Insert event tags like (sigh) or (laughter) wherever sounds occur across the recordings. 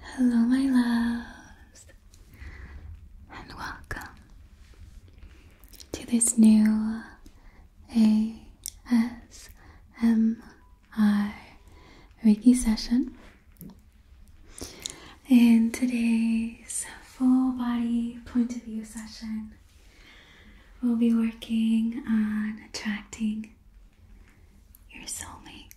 Hello, my loves, and welcome to this new A S M I Riki session. In today's full body point of view session, we'll be working on attracting your soulmate.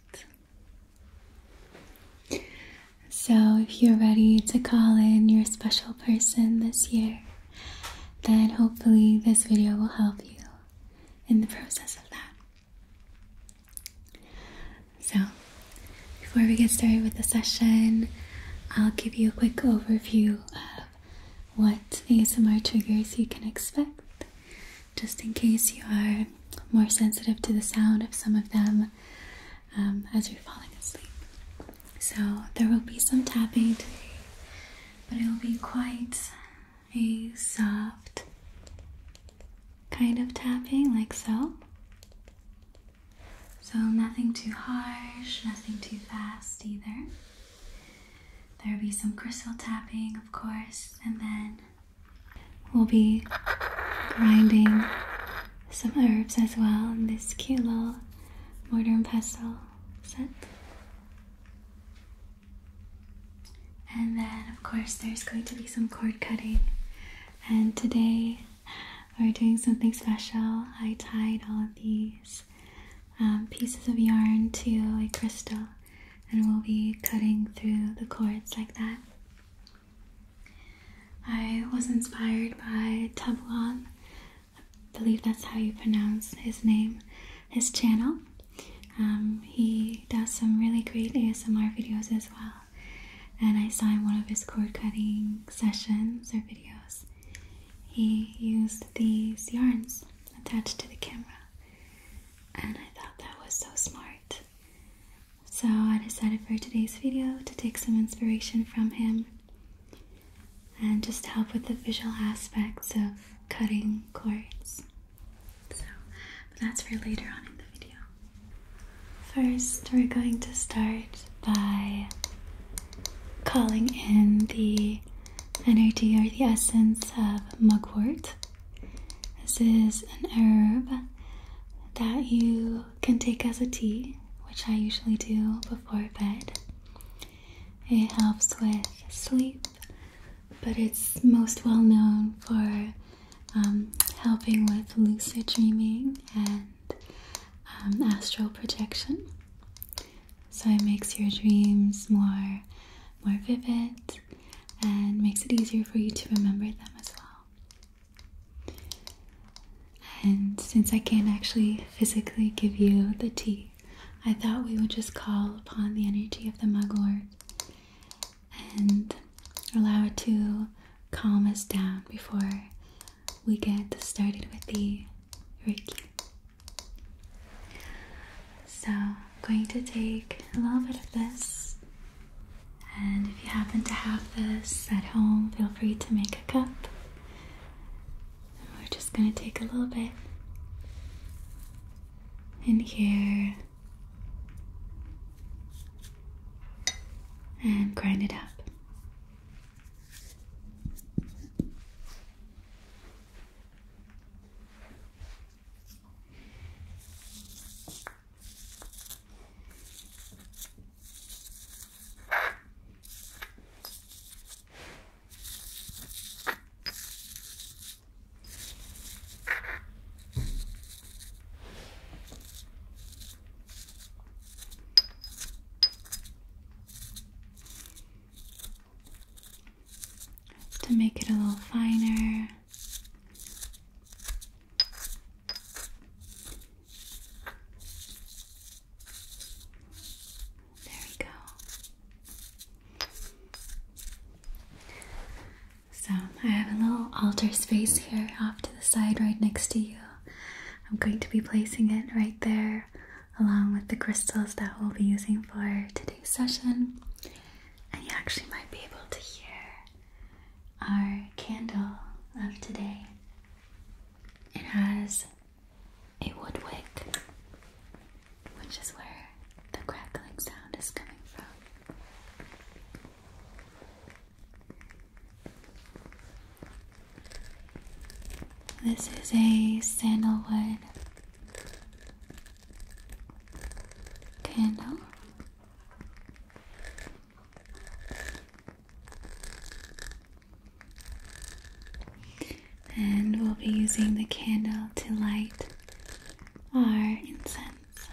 So, if you're ready to call in your special person this year, then hopefully this video will help you in the process of that. So, before we get started with the session, I'll give you a quick overview of what ASMR triggers you can expect just in case you are more sensitive to the sound of some of them um, as you're falling asleep. So, there will be some tapping but it will be quite a soft kind of tapping, like so. So, nothing too harsh, nothing too fast either. There will be some crystal tapping, of course, and then We'll be grinding some herbs as well in this cute little mortar and pestle set. And then, of course, there's going to be some cord cutting. And today we're doing something special. I tied all of these um, pieces of yarn to a crystal, and we'll be cutting through the cords like that. I was inspired by Tevlon, I believe that's how you pronounce his name, his channel. Um, he does some really great ASMR videos as well. And I saw in one of his cord cutting sessions or videos, he used these yarns attached to the camera. And I thought that was so smart. So I decided for today's video to take some inspiration from him and just help with the visual aspects of cutting cords. So, that's for later on in the video. First, we're going to start by calling in the energy or the essence of mugwort. This is an herb that you can take as a tea, which I usually do before bed. It helps with sleep, but it's most well known for um, helping with lucid dreaming and um, astral projection. So it makes your dreams more more vivid and makes it easier for you to remember them as well. And since I can't actually physically give you the tea, I thought we would just call upon the energy of the mugwort and allow it to calm us down before we get started with the Reiki. So, I'm going to take a little bit of this and if you happen to have this at home, feel free to make a cup. And we're just going to take a little bit in here and grind it up. To make it a little finer, there we go. So, I have a little altar space here off to the side right next to you. I'm going to be placing it right there along with the crystals that we'll be using for today's session. And you actually might be able to hear our candle of today. It has a wood wick, which is where the crackling sound is coming from. This is a sandalwood candle. And we'll be using the candle to light our incense.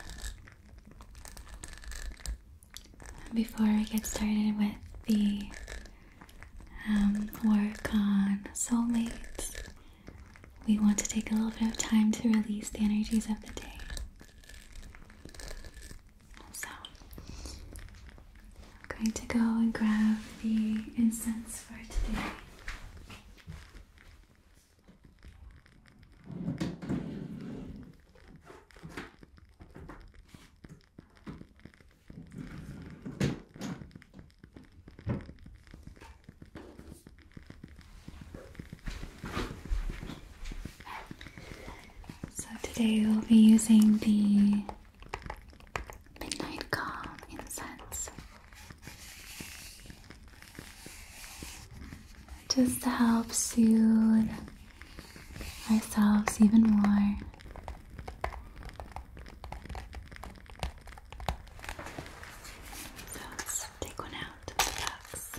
Before we get started with the um, work on soulmates, we want to take a little bit of time to release the energies of the day. So, I'm going to go and grab the incense for today. So today we'll be using the Midnight Calm incense just to help soothe ourselves even more. So let's take one out of the box.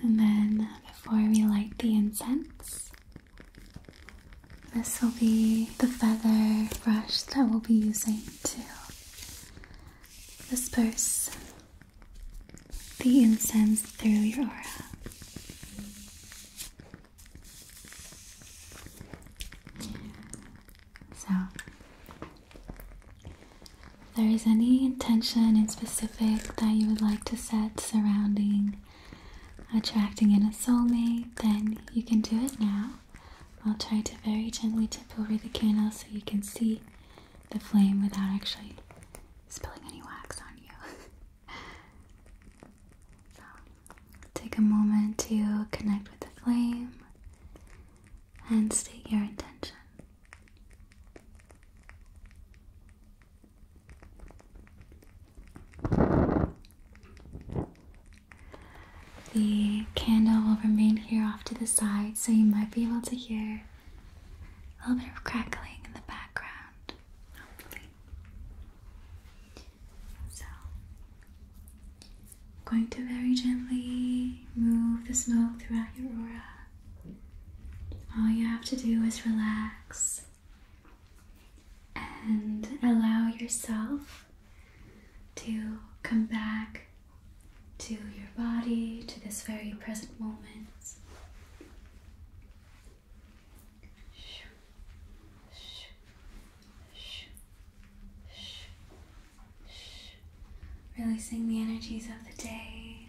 And then before we light the incense, this will be the feather brush that we'll be using to disperse the incense through your aura. So, if there is any intention in specific that you would like to set surrounding attracting in a soulmate, then you can do it now. I'll try to very gently tip over the candle so you can see the flame without actually spilling any wax on you. (laughs) so, take a moment to connect with the flame and state your intention. The candle will remain here off to the side, so you might be able to hear a little bit of crackling in the background, So, I'm going to very gently move the smoke throughout your aura all you have to do is relax and allow yourself to come back to your body, to this very present moment. Releasing the energies of the day,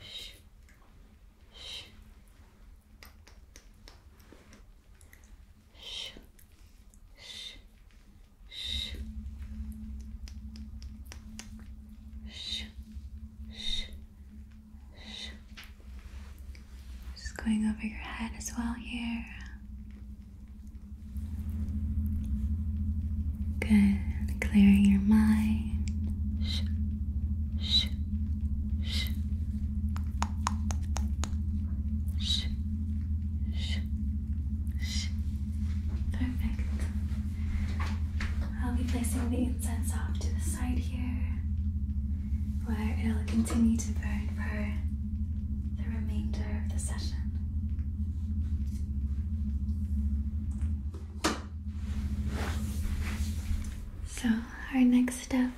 Shh. Shh. Shh. Shh. Shh. Shh. Just going over your head as well here. Good. Clearing your mind. Shh, shh, shh. Shh, shh, shh. Perfect. I'll be placing the incense off to the side here where it'll continue to burn for the remainder of the session. So, our next step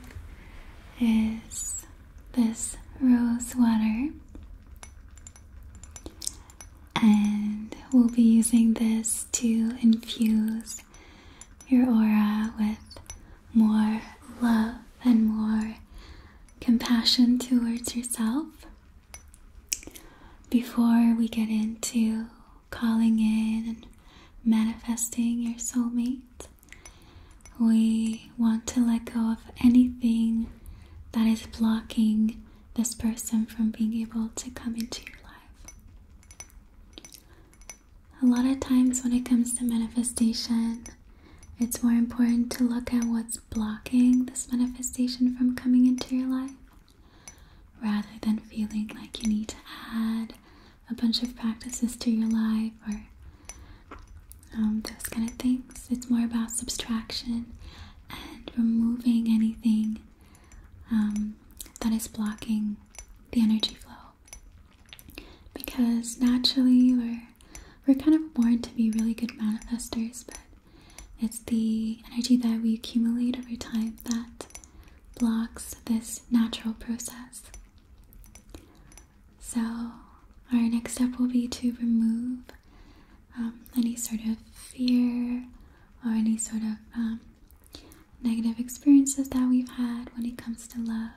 is this rose water, and we'll be using this to infuse your aura with more love and more compassion towards yourself. Before we get into calling in and manifesting your soulmate, we want to let go of anything that is blocking this person from being able to come into your life. A lot of times, when it comes to manifestation, it's more important to look at what's blocking this manifestation from coming into your life rather than feeling like you need to add a bunch of practices to your life or um, those kind of things. It's more about subtraction and removing anything um, that is blocking the energy flow. Because naturally, we're, we're kind of born to be really good manifestors, but it's the energy that we accumulate over time that blocks this natural process. So, our next step will be to remove um, any sort of fear or any sort of um, negative experiences that we've had when it comes to love.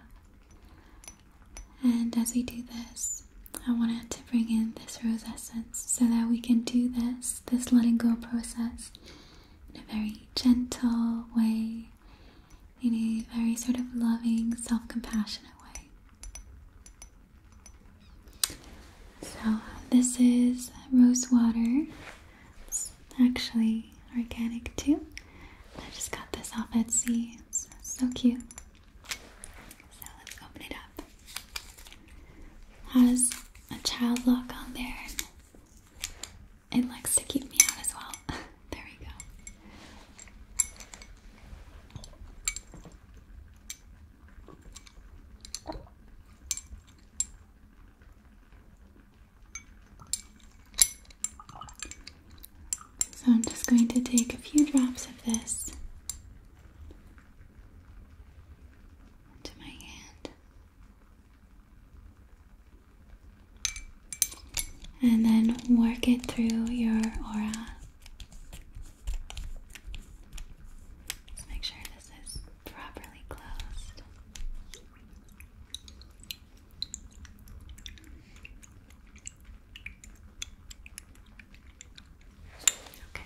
And as we do this, I wanted to bring in this rose essence so that we can do this, this letting go process in a very gentle way, in a very sort of loving, self compassionate way. So, this is rose water. It's actually organic too. I just got this off Etsy. It's so cute. So, let's open it up. Has a child lock on there. It likes to keep me out as well. (laughs) there we go. So I'm just going to take a few drops of this into my hand. And then work it through your aura. Just make sure this is properly closed. Okay.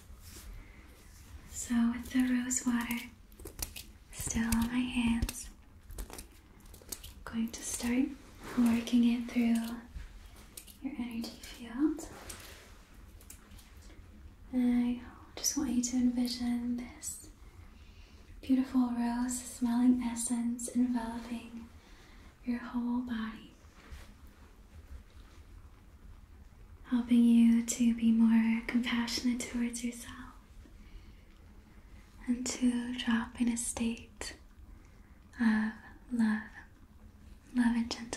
so, with the rose water still on my hands, I'm going to start working it through your energy field. And I just want you to envision this beautiful rose smelling essence enveloping your whole body helping you to be more compassionate towards yourself and to drop in a state of love, love and gentleness.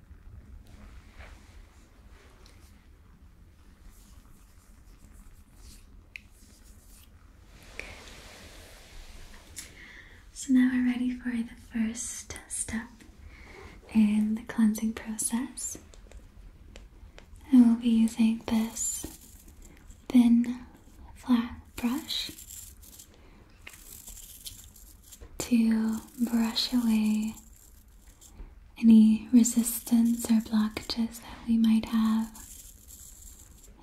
So now we're ready for the first step in the cleansing process. I will be using this thin flat brush to brush away any resistance or blockages that we might have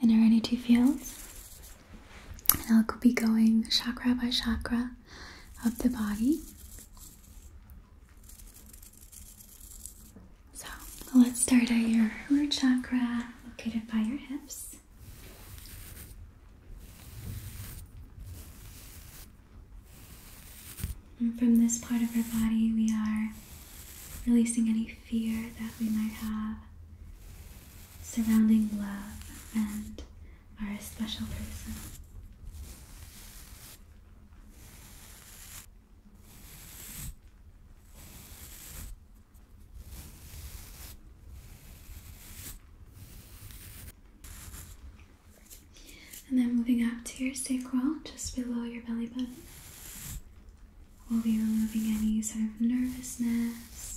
in our energy fields. And I'll be going chakra by chakra of the body. So let's start at your root chakra, located by your hips from this part of our body, we are releasing any fear that we might have surrounding love and our special person. And then moving up to your sacral, just below your belly button, we'll be removing any sort of nervousness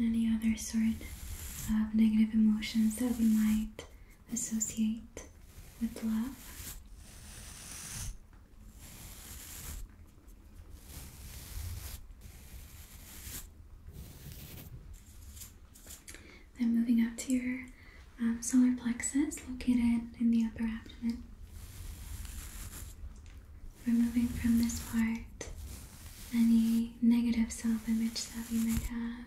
any other sort of negative emotions that we might associate with love. Then moving up to your um, solar plexus located in the upper abdomen removing from this part any negative self image that we might have,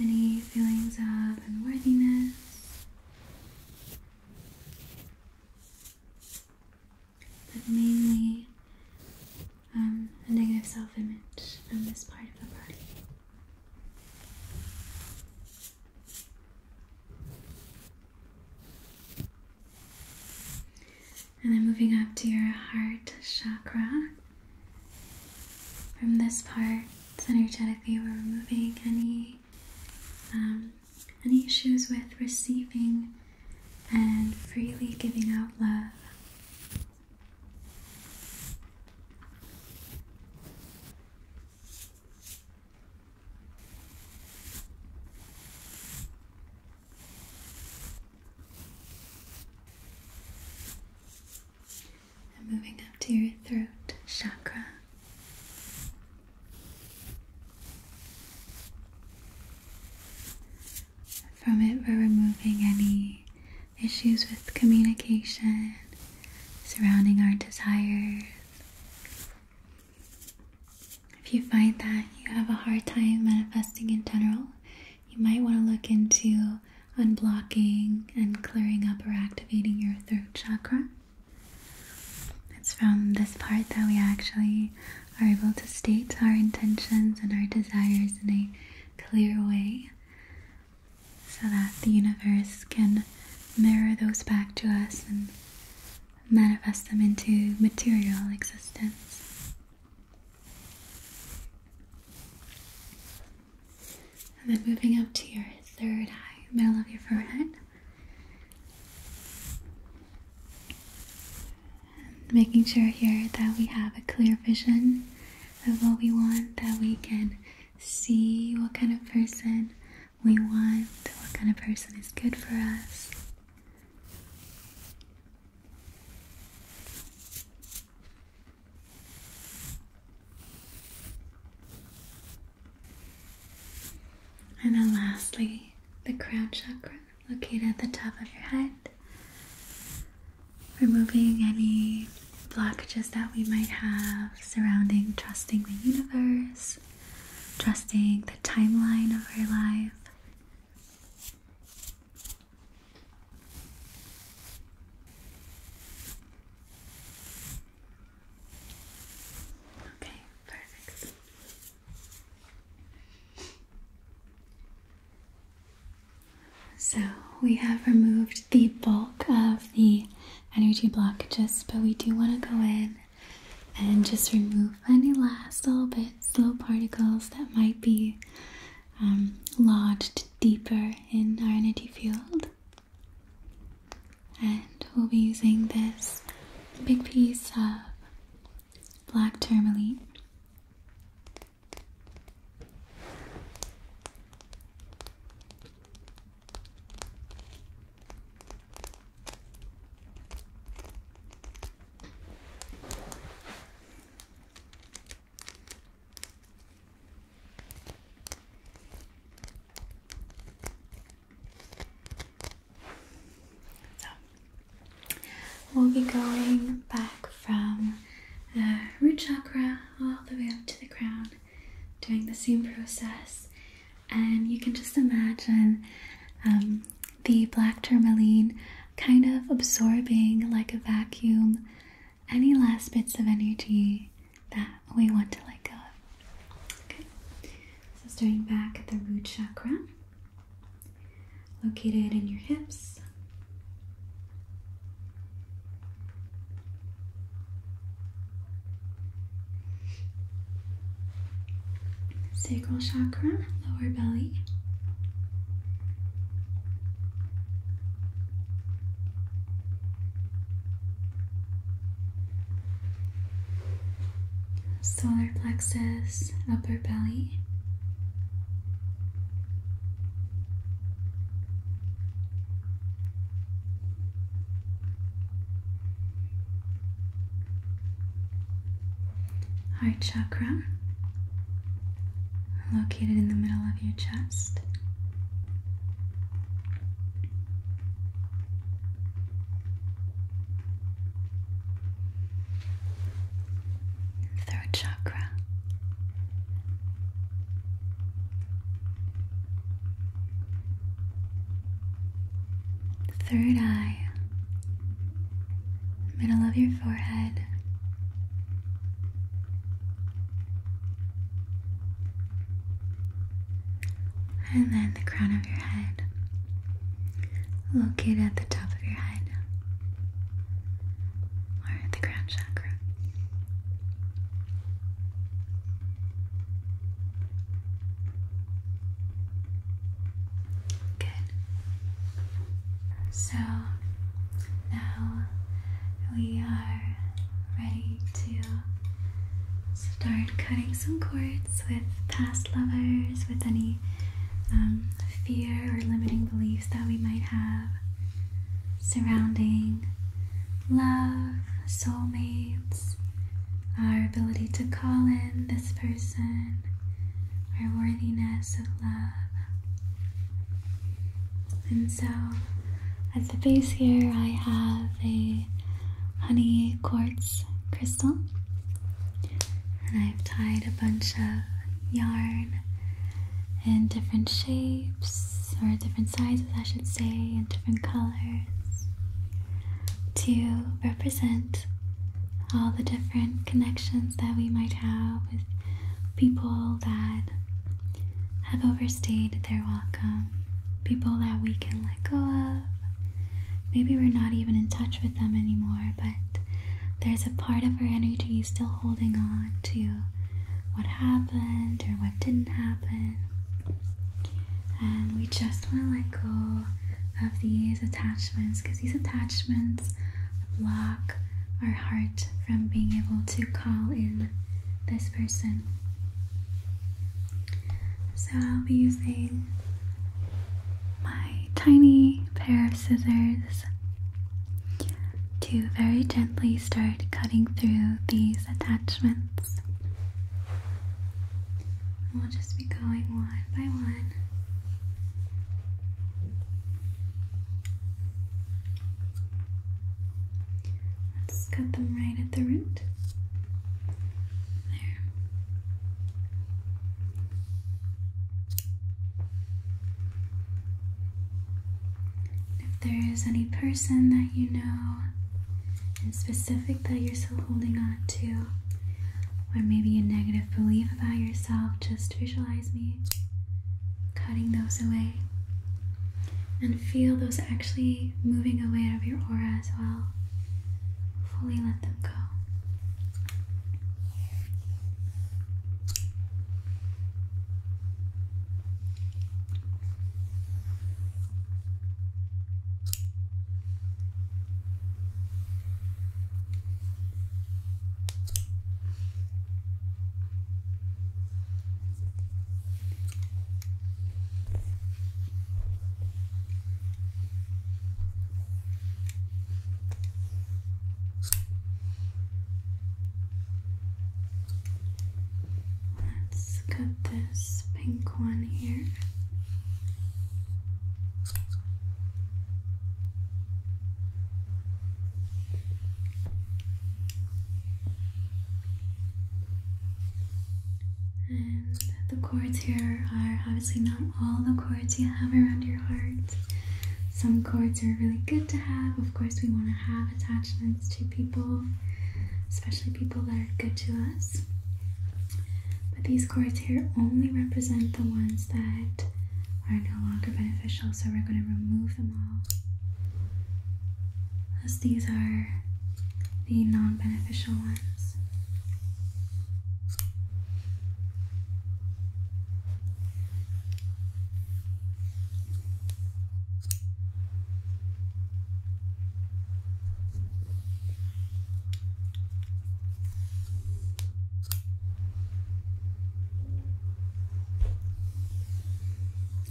any feelings of unworthiness. But mainly um, a negative self image from this part of the body. And then moving up to your heart chakra. From this part, energetically, we're removing any um, any issues with receiving and freely giving out love moving up to your throat chakra. From it, we're removing any issues with communication surrounding our desires. If you find that you have a hard time manifesting in general, you might want to look into unblocking and clearing up or activating your throat chakra. It's from this part that we actually are able to state our intentions and our desires in a clear way so that the universe can mirror those back to us and manifest them into material existence. And then moving up to your third eye, middle of your forehead. making sure here that we have a clear vision of what we want, that we can see what kind of person we want, what kind of person is good for us. And then lastly, the crown chakra located at the top of your head, removing any blockages that we might have surrounding trusting the universe, trusting the timeline of our life, Okay, perfect. So we have removed the bulk of the energy blockages, but we do want to go in and just remove any last little bits, little particles that might be um, lodged deeper in our energy field. And we'll be using this big piece of black tourmaline. So we'll be going back from the root chakra all the way up to the crown, doing the same process. And you can just imagine um, the black tourmaline kind of absorbing like a vacuum any last bits of energy that we want to let go of. Okay, so starting back at the root chakra, located in your hips. Sacral chakra, lower belly, Solar plexus, upper belly. Heart chakra, located in the middle of your chest. Third chakra. Third eye, middle of your forehead, and then the crown of your head, located at the top of your head, or at the crown chakra. Good. So now we are ready to start cutting some cords with past lovers, with any um, fear or limiting beliefs that we might have surrounding love, soulmates, our ability to call in this person, our worthiness of love. And so at the base here, I have a honey quartz crystal, and I've tied a bunch of yarn in different shapes or different sizes, I should say, in different colors to represent all the different connections that we might have with people that have overstayed their welcome, people that we can let go of. Maybe we're not even in touch with them anymore, but there's a part of our energy still holding on to what happened or what didn't happen. And we just want to let go of these attachments because these attachments block our heart from being able to call in this person. So I'll be using my tiny pair of scissors to very gently start cutting through these attachments. We'll just be going one by one. Let's cut them right at the root. There. If there is any person that you know in specific that you're still holding on to, or maybe a negative belief about yourself, just visualize me cutting those away. And feel those actually moving away out of your aura as well. Fully let them go. Let's cut this pink one here. And the cords here are obviously not all the cords you have around your heart. Some cords are really good to have. Of course, we want to have attachments to people, especially people that are good to us. But these cords here only represent the ones that are no longer beneficial, so we're going to remove them all, as these are the non beneficial ones.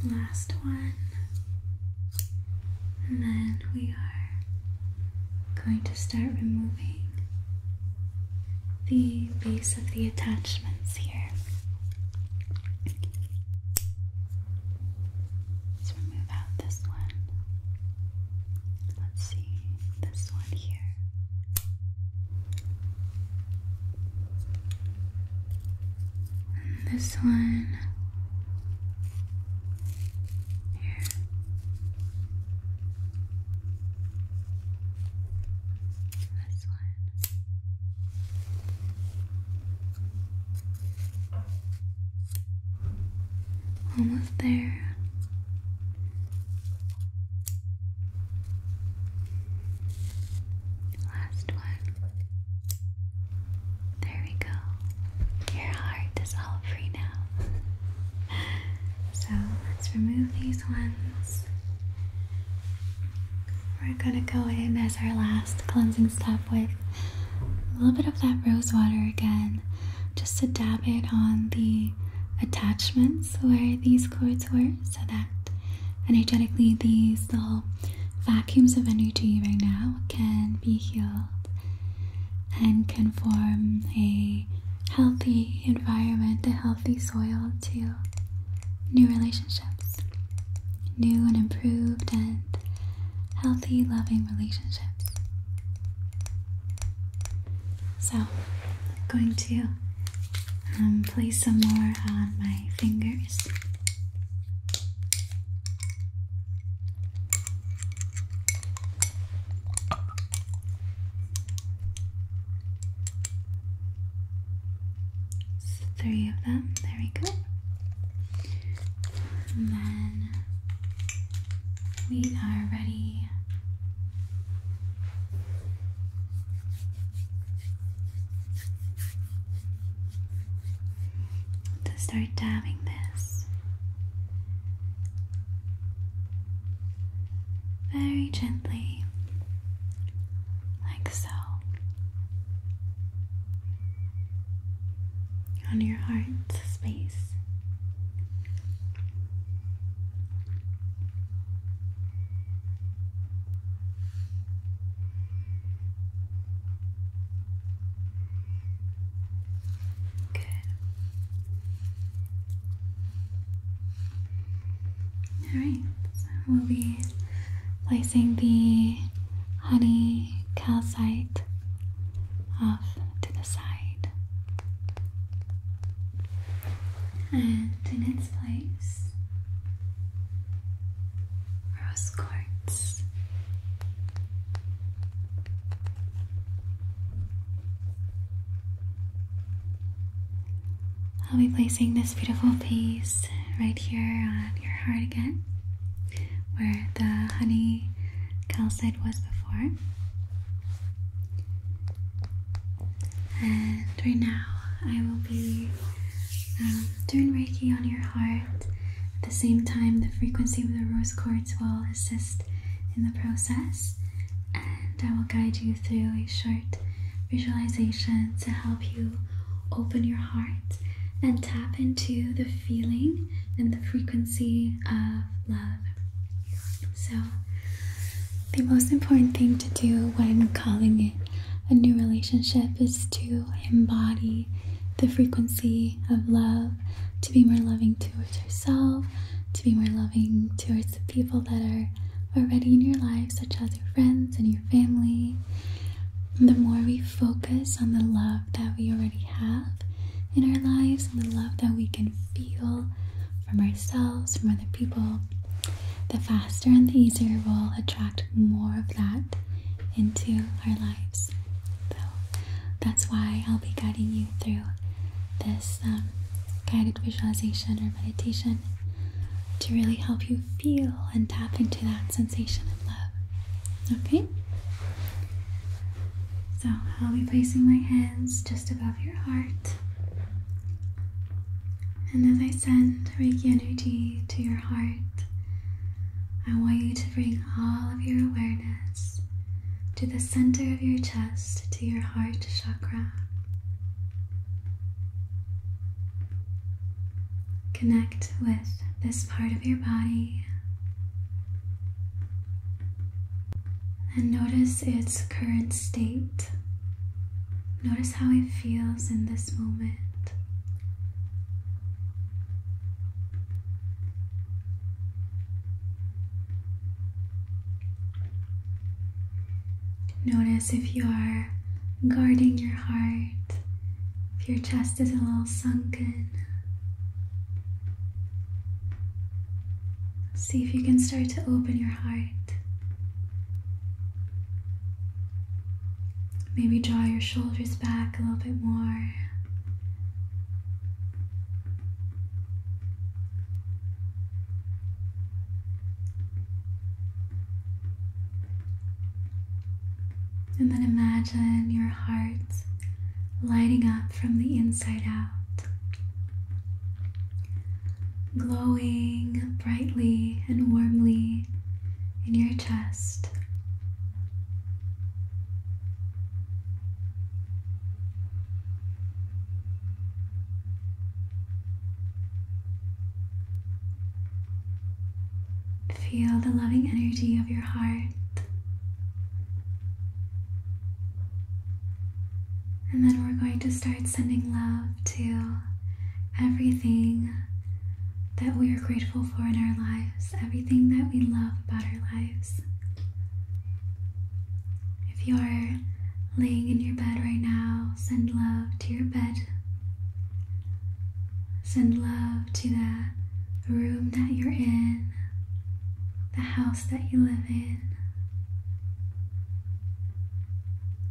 Last one, and then we are going to start removing the base of the attachments here. Let's remove out this one. Let's see, this one here. And this one here. This one. Almost there. Last one. There we go. Your heart is all free now. (laughs) so let's remove these ones. We're gonna go in as our last cleansing step with a little bit of that rose water again, just to dab it on the attachments where these cords were so that energetically these little vacuums of energy right now can be healed and can form a healthy environment, a healthy soil to new relationships, new and improved and healthy, loving relationships. So, I'm going to um, place some more on my fingers. three of them, there we go. And then we are ready to start dabbing this very gently, like so, on your heart space. Good. Alright, so we'll be placing the honey calcite off to the side. And in its place, rose quartz. I'll be placing this beautiful piece right here on your heart again, where the honey calcite was before. And right now, I will be um, turn Reiki on your heart. At the same time, the frequency of the rose quartz will assist in the process, and I will guide you through a short visualization to help you open your heart and tap into the feeling and the frequency of love. So, the most important thing to do when calling it a new relationship is to embody the frequency of love, to be more loving towards yourself, to be more loving towards the people that are already in your life, such as your friends and your family. The more we focus on the love that we already have in our lives and the love that we can feel from ourselves, from other people, the faster and the easier we'll attract more of that into our lives. So that's why I'll be guiding you through this um, guided visualization or meditation to really help you feel and tap into that sensation of love. Okay? So I'll be placing my hands just above your heart. And as I send Reiki to your heart, I want you to bring all of your awareness to the center of your chest, to your heart chakra. Connect with this part of your body and notice its current state. Notice how it feels in this moment. Notice if you are guarding your heart, if your chest is a little sunken. See if you can start to open your heart Maybe draw your shoulders back a little bit more. And then imagine your heart lighting up from the inside out, glowing brightly and warmly in your chest. Feel the loving energy of your heart. And then we're going to start sending love to everything that we are grateful for in our lives, everything that we love about our lives. If you're laying in your bed right now, send love to your bed. Send love to the room that you're in, the house that you live in,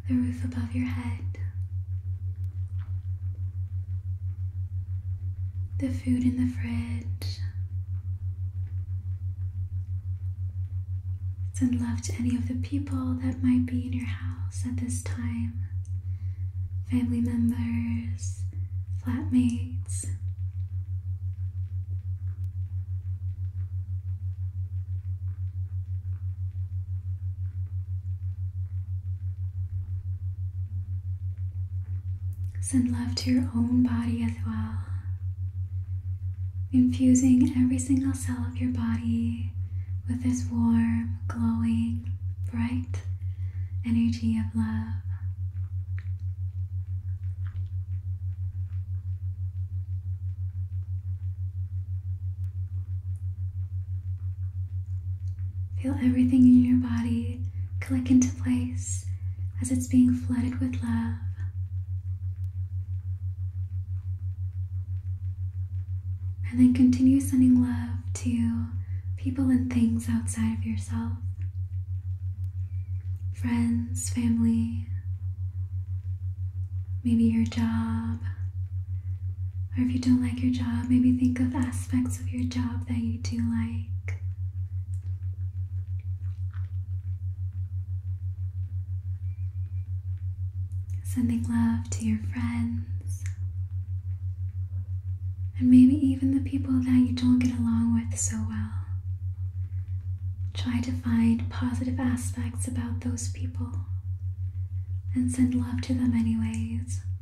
the roof above your head the food in the fridge. Send love to any of the people that might be in your house at this time family members, flatmates. Send love to your own body as well, infusing every single cell of your body with this warm, glowing, bright energy of love. Feel everything in your body click into place as it's being flooded with love. And then continue sending love to people and things outside of yourself friends, family, maybe your job, or if you don't like your job, maybe think of aspects of your job that you do like. Sending love to your friends. And maybe even the people that you don't get along with so well. Try to find positive aspects about those people and send love to them, anyways.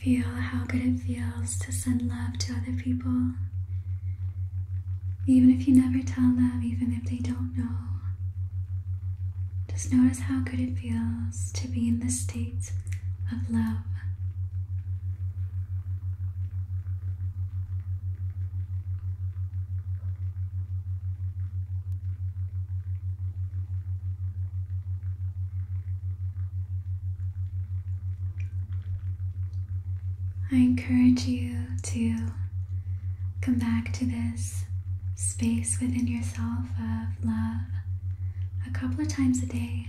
Feel how good it feels to send love to other people. Even if you never tell them, even if they don't know. Just notice how good it feels to be in the state of love. I encourage you to come back to this space within yourself of love a couple of times a day.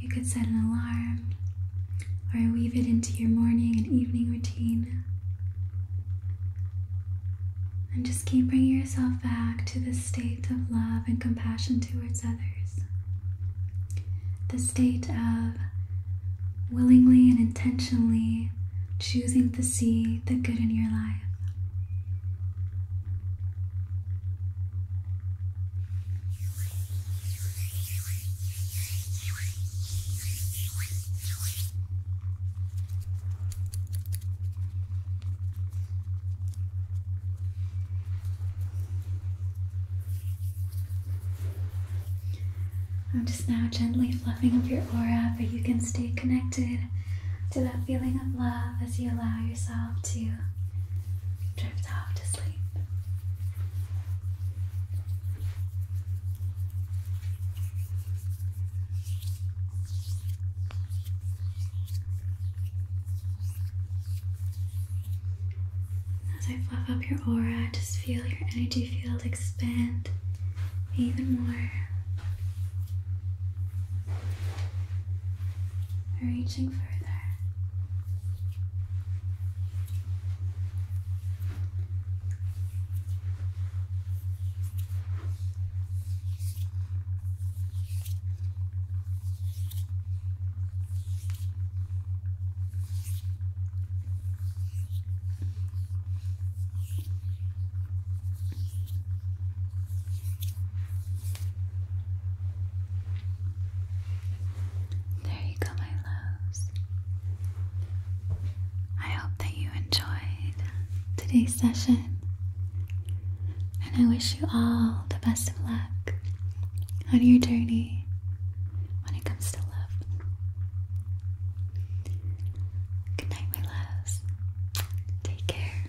You could set an alarm or weave it into your morning and evening routine. And just keep bringing yourself back to this state of love and compassion towards others. The state of willingly and intentionally choosing to see the good in your life. I'm just now gently fluffing up your aura, but you can stay connected to that feeling of love as you allow yourself to drift off to sleep. As I fluff up your aura, just feel your energy field expand even more. Reaching further. There you go, my loves. I hope that you enjoyed today's session, and I wish you all the best of luck on your journey when it comes to love. Good night, my loves. Take care.